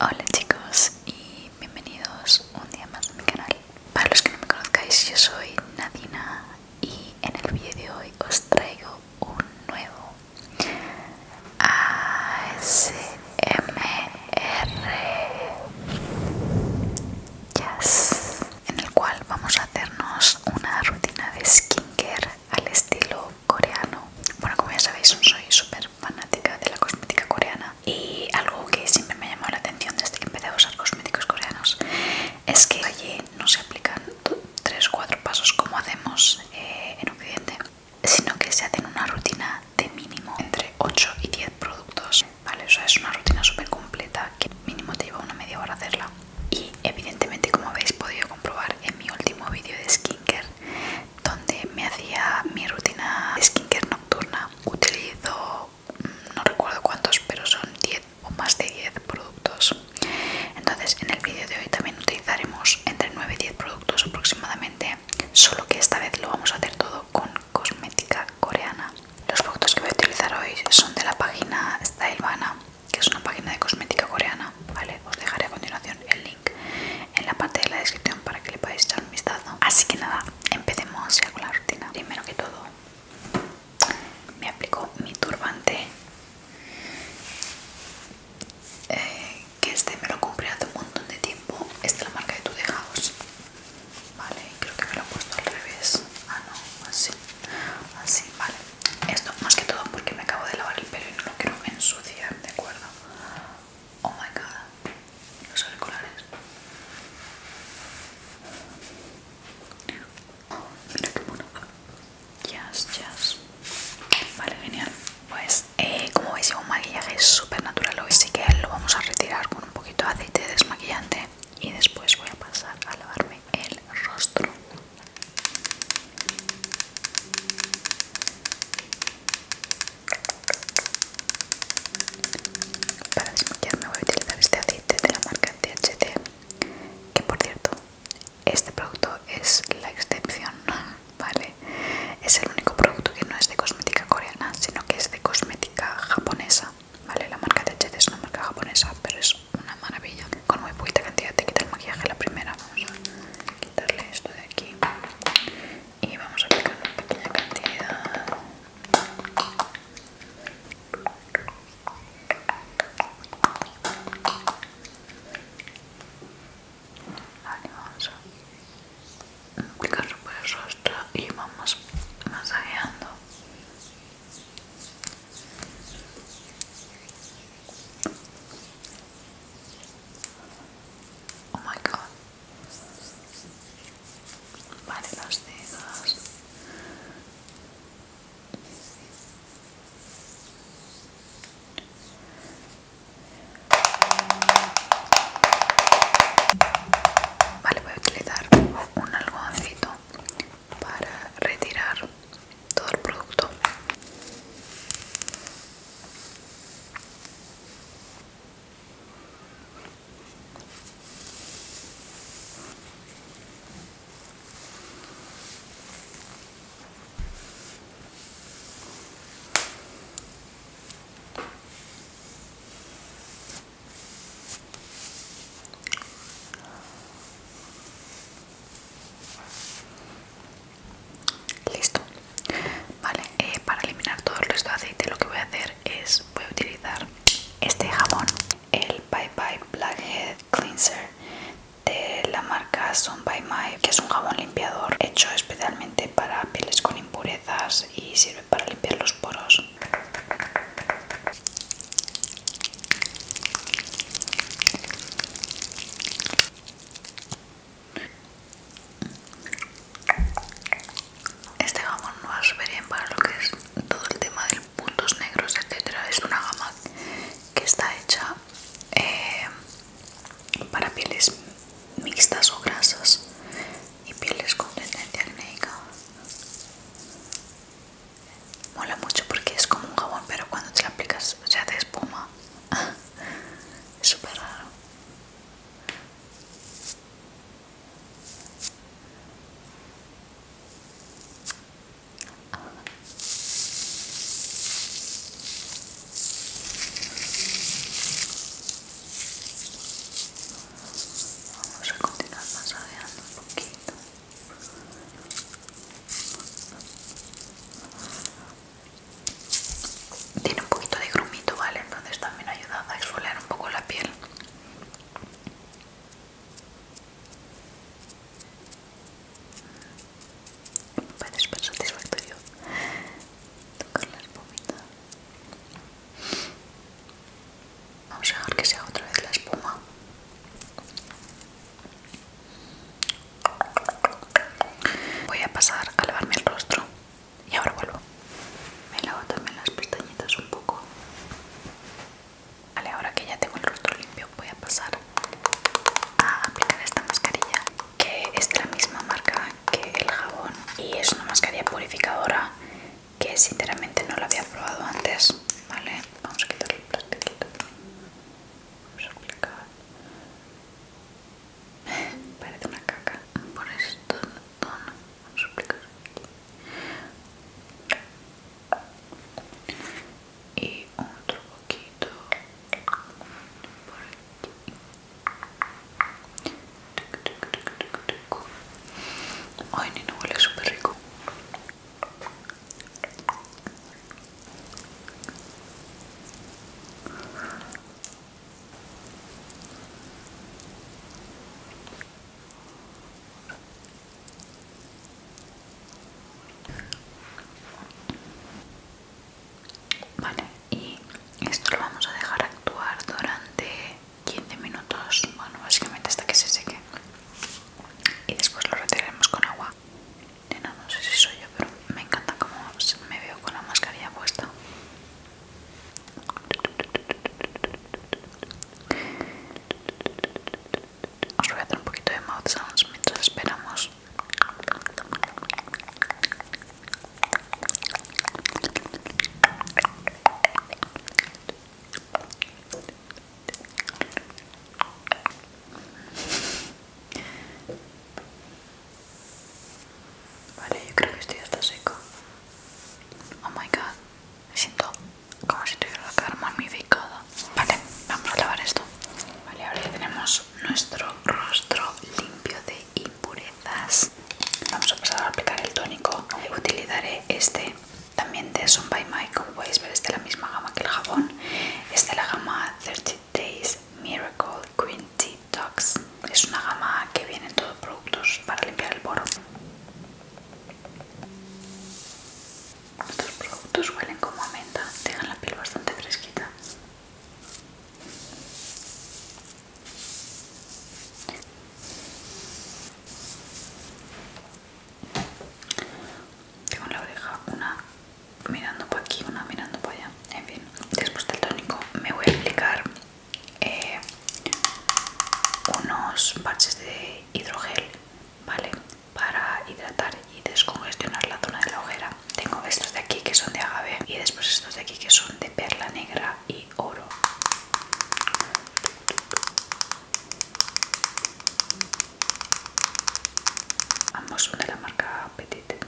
Hola chicos y bienvenidos un día más a mi canal. Para los que no me conozcáis, yo soy Nadina y en el vídeo de hoy os traigo un nuevo ASMR. Yes en el cual vamos a hacernos una rutina de skincare al estilo coreano. Bueno, como ya sabéis, soy súper fanática de la cosmética coreana y algo que siempre me ha llamado la atención desde que empecé a usar cosméticos coreanos es que allí no se aplican 3 o 4 pasos como hacemos eh, en Occidente, sino que se hacen una rutina de mínimo entre 8 y 10 productos ¿vale? es una rutina súper completa que mínimo te lleva una media hora hacerla. Y evidentemente, como habéis podido comprobar en mi último vídeo de skincare, donde me hacía mi rutina de skincare nocturna, utilizo, mm, no recuerdo cuántos, pero son 10 o más de 10 productos. Entonces, en el vídeo de hoy también utilizaremos entre 9 y 10 productos aproximadamente, solo que esta vez lo vamos a hacer todo con cosmética coreana. Los productos que voy a utilizar hoy son de la página Stylevana, que es una página de cosmética coreana. Vale, os dejaré a continuación el link en la parte de la descripción para que le podáis echar un vistazo. Así que nada, empecemos ya con la rutina. Primero que todo, me aplico mi turbante, eh, que este me lo compré hace un montón de tiempo. Esta es la marca de Tú, Vale, creo que me lo he puesto al revés. Ah, no, así. Así, vale. Esto más que todo porque me acabo de lavar el pelo y no lo quiero ensuciar, ¿de acuerdo? Oh my god, los auriculares. Oh, mira qué bueno. Yes, yes. Vale, genial. Pues, eh, como veis, llevo un maquillaje súper natural. Hoy sí que lo vamos a retirar con un poquito de aceite desmaquillante y después voy a pasar a lavarme el rostro para desmaquillarme voy a utilizar este aceite de la marca THT que por cierto este producto es la excepción vale es el único producto que no es de cosmética coreana sino que es de cosmética japonesa Vale, la marca de Jet es una marca japonesa, pero es una maravilla. Con muy poquita cantidad te quita el maquillaje la primera. Vamos a quitarle esto de aquí y vamos a aplicar una pequeña cantidad. vamos aplicarlo por el rostro y vamos masajeando oh my god vale los dedos Vale, voy a utilizar un algodoncito para retirar todo el producto. Listo. Vale, eh, para eliminar todo el resto de aceite lo que voy a hacer es voy a utilizar este jabón, el Bye Bye Blackhead Cleanser de la marca Sun by My, que es un jabón limpiador hecho especialmente para pieles con impurezas y sirve para limpiar los poros este jamón no va super bien para lo que es todo el tema de puntos negros, etcétera. Es una gama que está hecha eh, para pieles mixtas o grasas y pieles con tendencia acnéica. Mola mucho porque es como un jabón, pero cuando te lo aplicas sea te espuma. es súper raro. Vamos a continuar masajeando un poquito. Tiene un poquito de grumito, ¿vale? Entonces también ayuda a exfoliar un poco la piel. Me parece súper satisfactorio tocar la espumita. Vamos a dejar que haga otra vez la espuma. Voy a pasar a lavarme el rostro y ahora vuelvo. Me lavo también las pestañitas un poco. Vale, ahora que ya tengo el rostro limpio voy a pasar a aplicar esta mascarilla que es de la misma marca que el jabón y es una mascarilla purificadora que sinceramente no la había probado antes, ¿vale? Vamos a quitarle el plástico Vamos a aplicar. Parece una caca. Por esto, vamos a aplicar Y otro poquito por aquí. Ay, Nino huele súper rico. Vale, y esto lo vamos a dejar actuar durante 15 minutos bueno básicamente hasta que se seque y después lo retiraremos con agua Nena, no sé si soy yo pero me encanta como me veo con la mascarilla puesta os voy a dar un poquito de mouth sounds mientras esperamos Vale, yo creo que estoy hasta seco. Oh my god, me siento como si tuviera la cara magnificada. Vale, vamos a lavar esto. Vale, ahora ya tenemos nuestro rostro limpio de impurezas. Vamos a pasar a aplicar el tónico. Utilizaré este también de Sun by My, como podéis ver, es de la misma gama que el jabón. Es de la gama 30 Days Miracle Green Tea Detox. Es una gama que viene en todos productos para limpiar el poro. Estos productos huelen como a menta, dejan la piel bastante fresquita. Tengo en la oreja una mirando para aquí, una mirando para allá. En fin, después del tónico me voy a aplicar eh, unos parches de hidrogel, ¿vale? Para hidratar y descongestionar la zona de la ojera. Tengo estos de aquí que son de agave y después estos de aquí que son de perla negra y oro ambos son de la marca Petite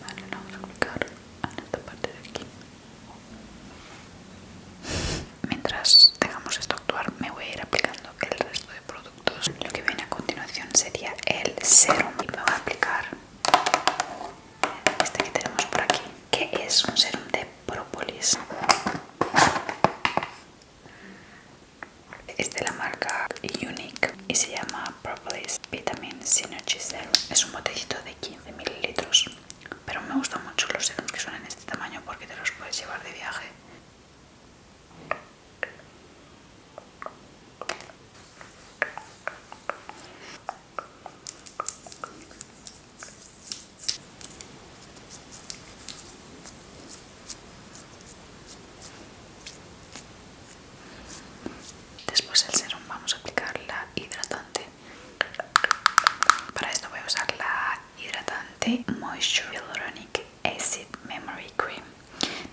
Vale, vamos a aplicar en esta parte de aquí. Mientras tengamos esto actuar, me voy a ir aplicando el resto de productos. Lo que viene a continuación sería el serum. Y me voy a aplicar este que tenemos por aquí, que es un serum de propolis es de la marca Unique y se llama Propolis Vitamin Synergy Es un botellito de 15 mililitros, pero me gustan mucho los serums que son en este tamaño porque te los puedes llevar de viaje. Después del serum vamos a aplicar la hidratante. Para esto voy a usar la hidratante Moisture Hyaluronic Acid Memory Cream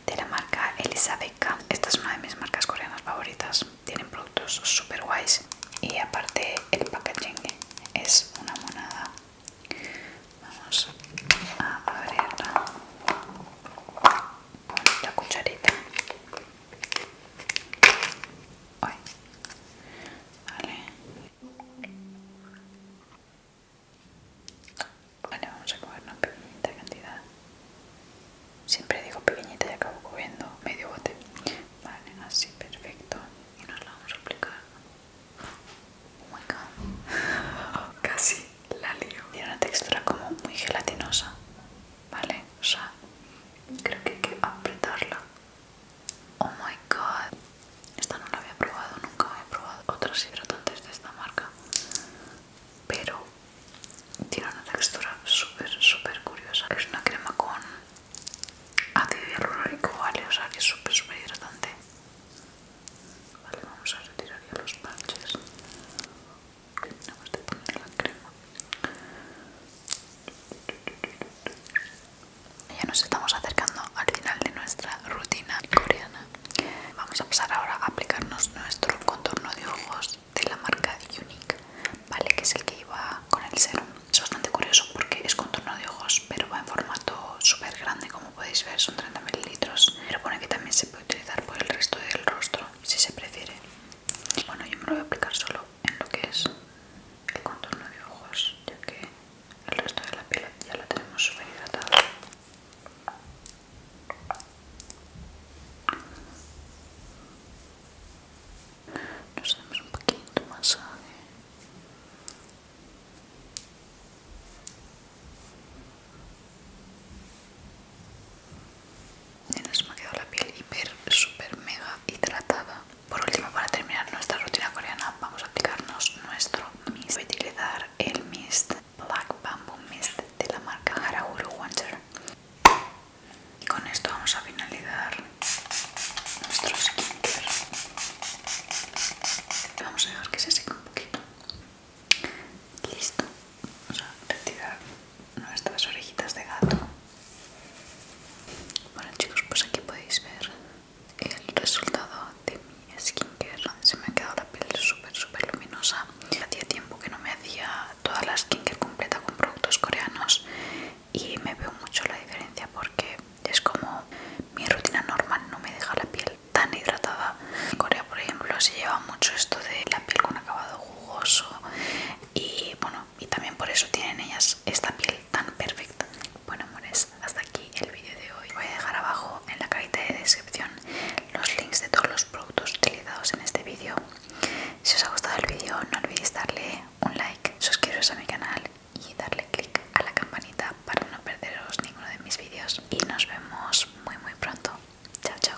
de la marca Elizabeth Esta es una de mis marcas coreanas favoritas. Tienen productos super guays y aparte el packaging es una monada Vamos a abrirla con la cucharita. Vale. vamos a comer una pequeñita cantidad. Siempre digo pequeñita y acabo comiendo medio bote. Vale, así, perfecto. Y nos la vamos a aplicar Oh my god. Casi la lío. Tiene una textura como muy gelatinosa. ¿Vale? O sea, creo que hay que apretarla. Oh my god. Esta no la había probado, nunca había probado otras hidratantes de esta marca. Pero tiene una textura súper, súper curiosa. Es una crema con ácido hialurónico, ¿vale? O sea, que es súper, súper hidratante. Vale, vamos a retirar ya los parches. poner la crema. Ya nos estamos acercando al final de nuestra rutina coreana. Vamos a pasar ahora a aplicarnos nuestro contorno de ojos de la marca Unique, ¿vale? Que es el que iba con el serum. Es bastante curioso porque es contorno de ojos, pero va en formato súper grande, como como podéis ver son 30 mililitros pero pone que también se puede utilizar por el resto del rostro si se prefiere bueno yo me lo voy a aplicar solo en lo que es el contorno de ojos ya que el resto de la piel ya la tenemos súper hidratada nos damos un poquito masaje y nos ha quedado la piel hiper, super, mega hidratada. Por último, para terminar nuestra rutina coreana, vamos a aplicarnos nuestro mist. Voy a utilizar el mist Black Bamboo Mist de la marca Haraguru Wonder. Y con esto vamos a finalizar nuestro skincare. Vamos a dejar que se seque un poquito. Listo. Vamos a retirar nuestras orejitas de gato. Bueno chicos, pues aquí podéis ver el resultado de mi skincare. Se me ha quedado la piel súper súper luminosa. Hacía tiempo que no me hacía toda la skincare completa con productos coreanos y me veo mucho la diferencia porque es como mi rutina normal no me deja la piel tan hidratada. En Corea, por ejemplo, se lleva mucho esto de la piel con acabado jugoso y bueno, y también por eso tienen ellas esta piel tan perfecta. Bueno, amores, hasta aquí el vídeo de hoy. Voy a dejar abajo en la cajita de descripción los links de todos los productos utilizados en este vídeo. Si os ha gustado el vídeo, no olvidéis darle un like, suscribiros a mi canal y darle click a la campanita para no perderos ninguno de mis vídeos y nos vemos muy muy pronto. Chao chao.